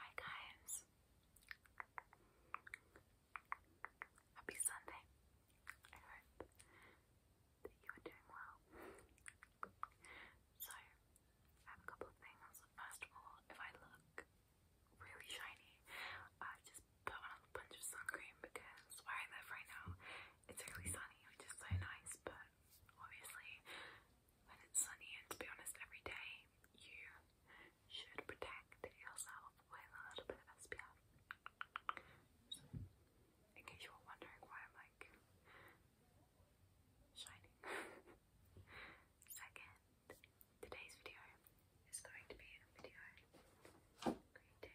Hi guys. Happy Sunday. I hope that you are doing well. So, I have a couple of things. First of all, if I look really shiny, I just put on a bunch of sun because where I live right now, it's really sunny, which is so nice, but obviously when it's sunny, and to be honest, every day you should protect yourself with a little bit of SPF. in case you were wondering why I'm like shining. Second, today's video is going to be a video creating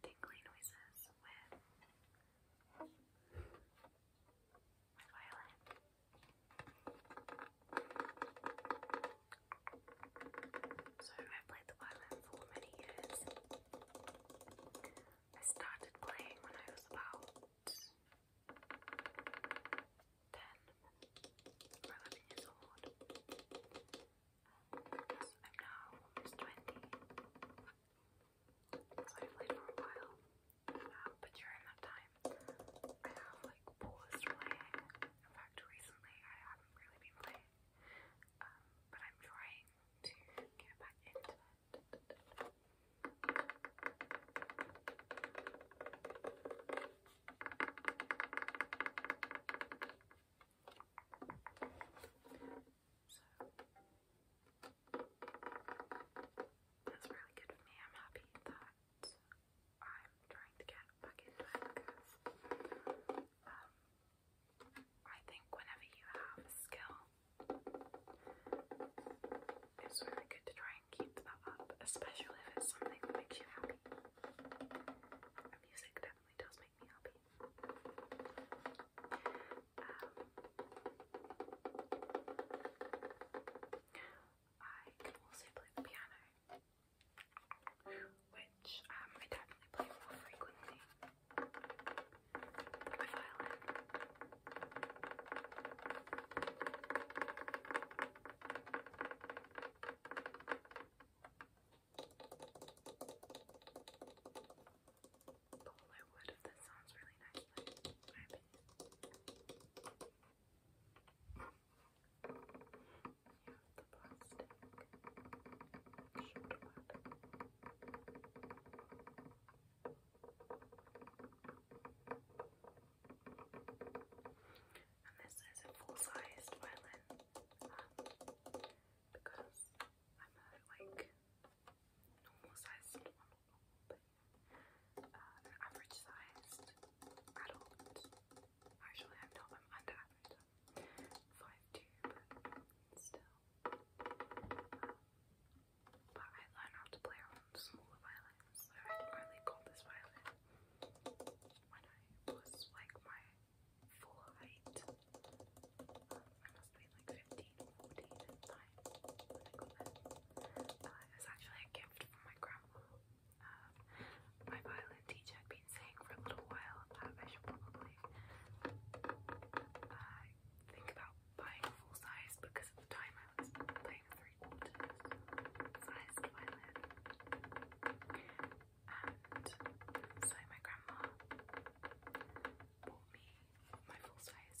tingly noises with my violin. So I played the violin for many years. I started playing when I was about 10 years old. I'm now almost 20. So I played for a while uh, but during that time, I have like paused playing. In fact, recently I haven't really been playing, um, but I'm trying to get back into it. So, that's really good for me. I'm happy that I'm trying to get back into it because um, I think whenever you have a skill, it's really good to try and keep that up, especially if it's something that makes you happy. music definitely does make me happy. Um, I can also play the piano, which um, I definitely play more frequently. The violin. All I would if sounds really nice, the plastic shoulder pad. And this is a full-size violin um, because I'm like normal sized, uh, they average sized adults. Actually, I'm I'm under average. Five two, still. Um, but I learned how to play on smaller violins, I didn't this violin when I was like my full height. Um, I must be like 15 when I actually a gift from my grandma. Um, my violin teacher had been saying for a little while that um, I should probably uh, think about buying a full size because at the time I was playing a three quarters sized violin. And so my grandma bought me my full size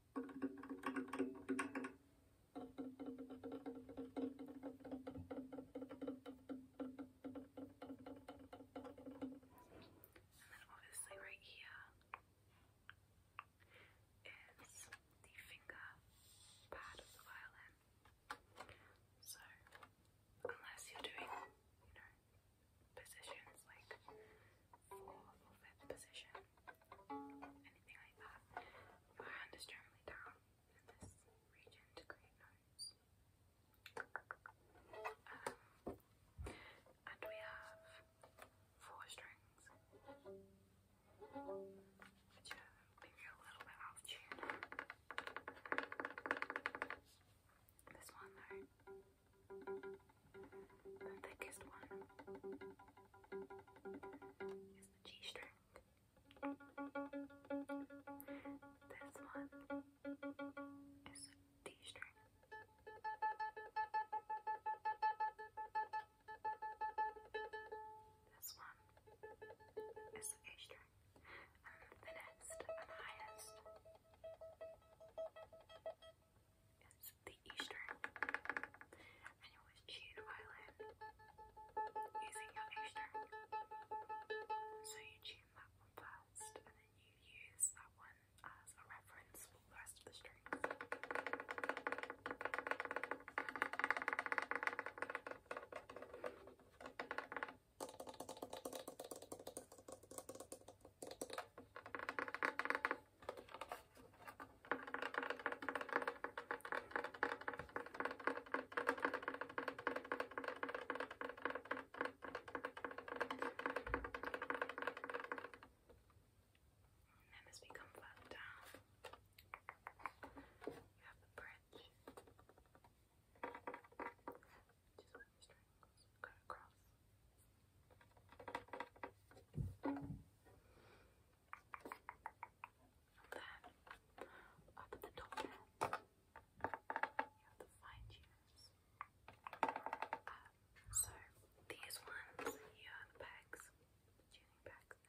And then obviously right here is the finger pad of the violin. So unless you're doing, you know, positions like fourth position, anything like that. Your hand is generally down in this region to create notes. Um, and we have four strings, which are maybe a little bit out tune. This one though. The thickest one is the G string. This one is the D string. This one is the A string. And thinnest and highest it's the Easter, and it was chewed violin using your Easter. So you tune that one first, and then you use that one as a reference for the rest of the strings. Then as we further down, you have the bridge, which is where the strings go across. Then you so these ones here, the pegs, the tuning pegs,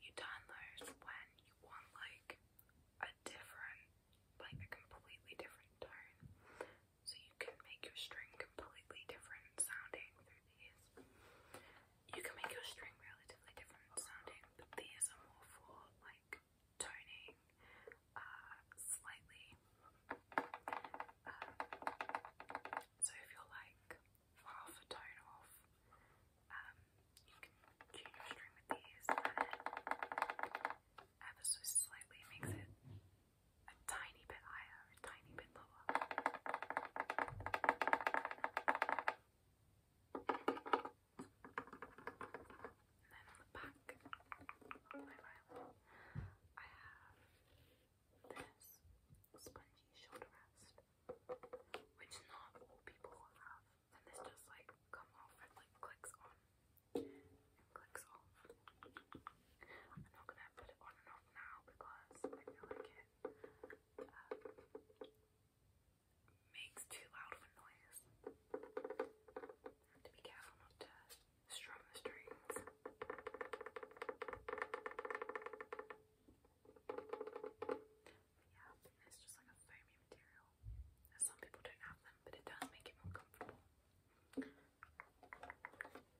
you turn when you want like a different, like a completely different tone. So you can make your string completely different sounding through these you can make your string relatively different sounding, but these are more for like toning, uh, slightly. Uh, so if you're like half a tone off, um, you can tune your string with these, and ever so slightly makes it a tiny bit higher a tiny then on the back of my rail, I have this spongy shoulder rest, which not all people have, and this just like comes off and like clicks on clicks off. I'm not gonna put it on and off now because I feel like it uh, makes too loud of a noise. to be careful not to strum the strings. Yeah, it's just like a foamy material. Some people don't have them, but it does make it more comfortable.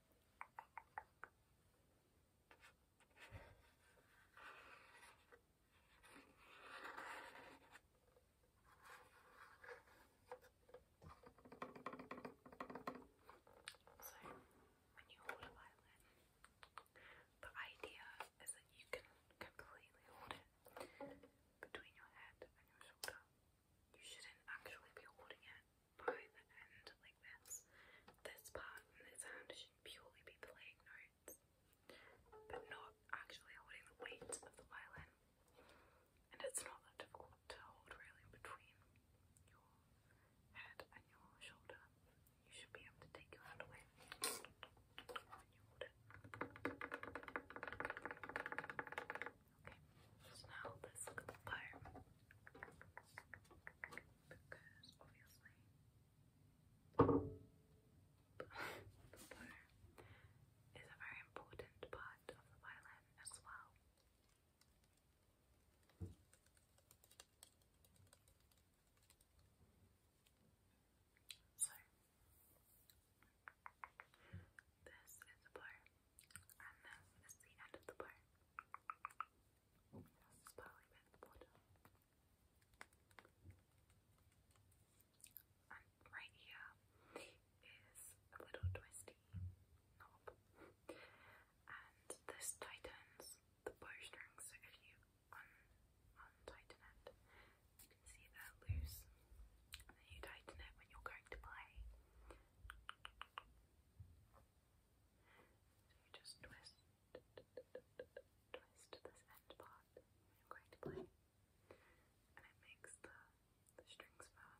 So, when you hold a violin, the idea is that you can completely hold it between your head and your shoulder. You shouldn't actually be holding it behind the like this. This part in this hand should purely be playing notes, but not actually holding the weight of the violin. And it's not that difficult to hold really between your head and your shoulder. You should be able to take your hand away Okay, so now let's look at the fire. Because obviously, the fire is a very important part of the violin as well. So, this is a bow. And now that's the end of the part. Now it's probably by the bottom. And right here is a little twisty knob. And this tightens the bow string, so if you untighten it, you can see they're loose. And you tighten it when you're going to play. So you just twist, twist this end part I'm going to play, and it makes the, the strings firm.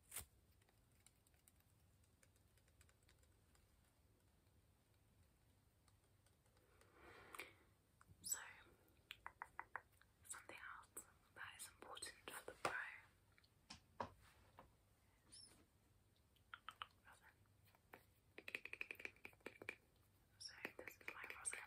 So, something else that is important for the brow So, this is my rosin.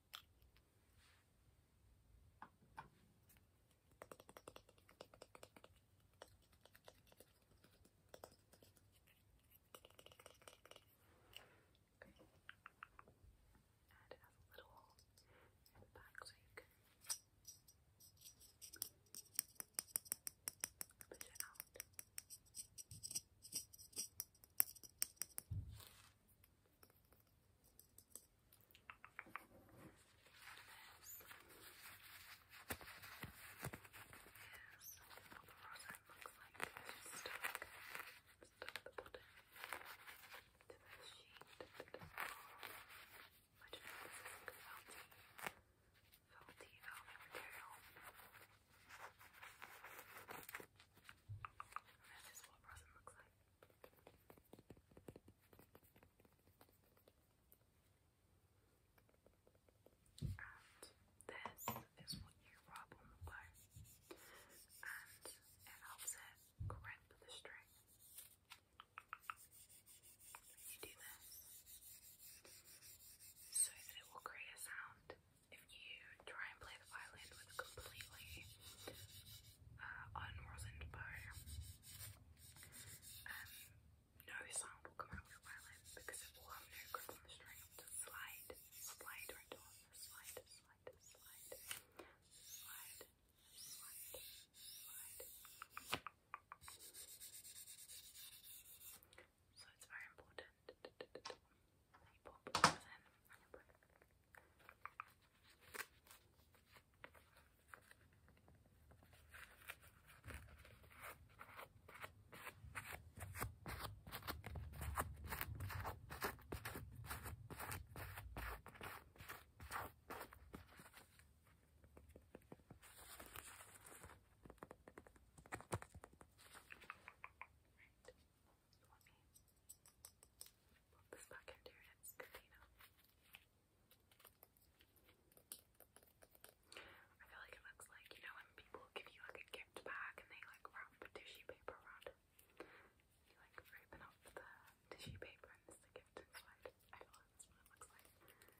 And it has a little hole in the back so you can push it out looks like it's stuck, stuck the bottom to the sheet. I don't know if this is like felty, felty velvet material. This is what a looks like. this is what you rub on the bow, and it helps it grip the string. You do this so that it will create a sound if you try and play the violin with completely uh, unrosined um, no sound will come out of your violin because it will have no grip on the string. slide, slide right on, slide, slide, slide, slide, slide, slide. So it's very important pop over them and put Right. Let I feel like it looks like, you know, when people give you like a gift bag and they like wrap tissue paper around You like open up the tissue paper and there's the gift inside. I feel like that's what looks like.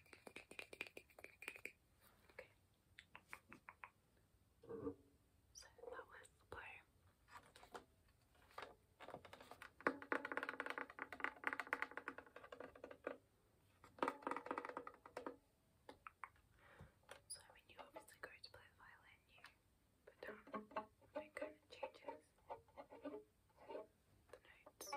Okay. So that was the blue. So when you obviously go to play the violin, you put down it changes the notes.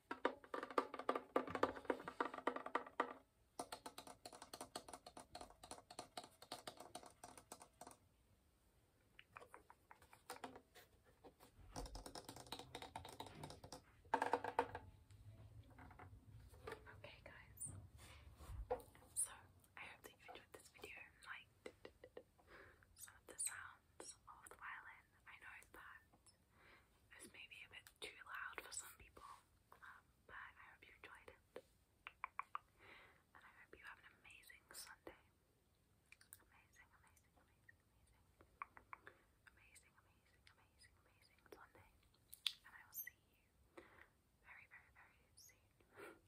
Okay, guys. So I hope that you enjoyed this video liked some of the sounds of the wireless. I know that it's maybe a bit too loud for some people, um, but I hope you enjoyed it. And I hope you have an amazing Sunday. Amazing, amazing, amazing, amazing. Amazing, amazing, amazing, amazing Sunday. And I will see you very, very, very soon.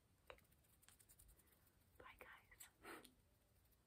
Bye, guys.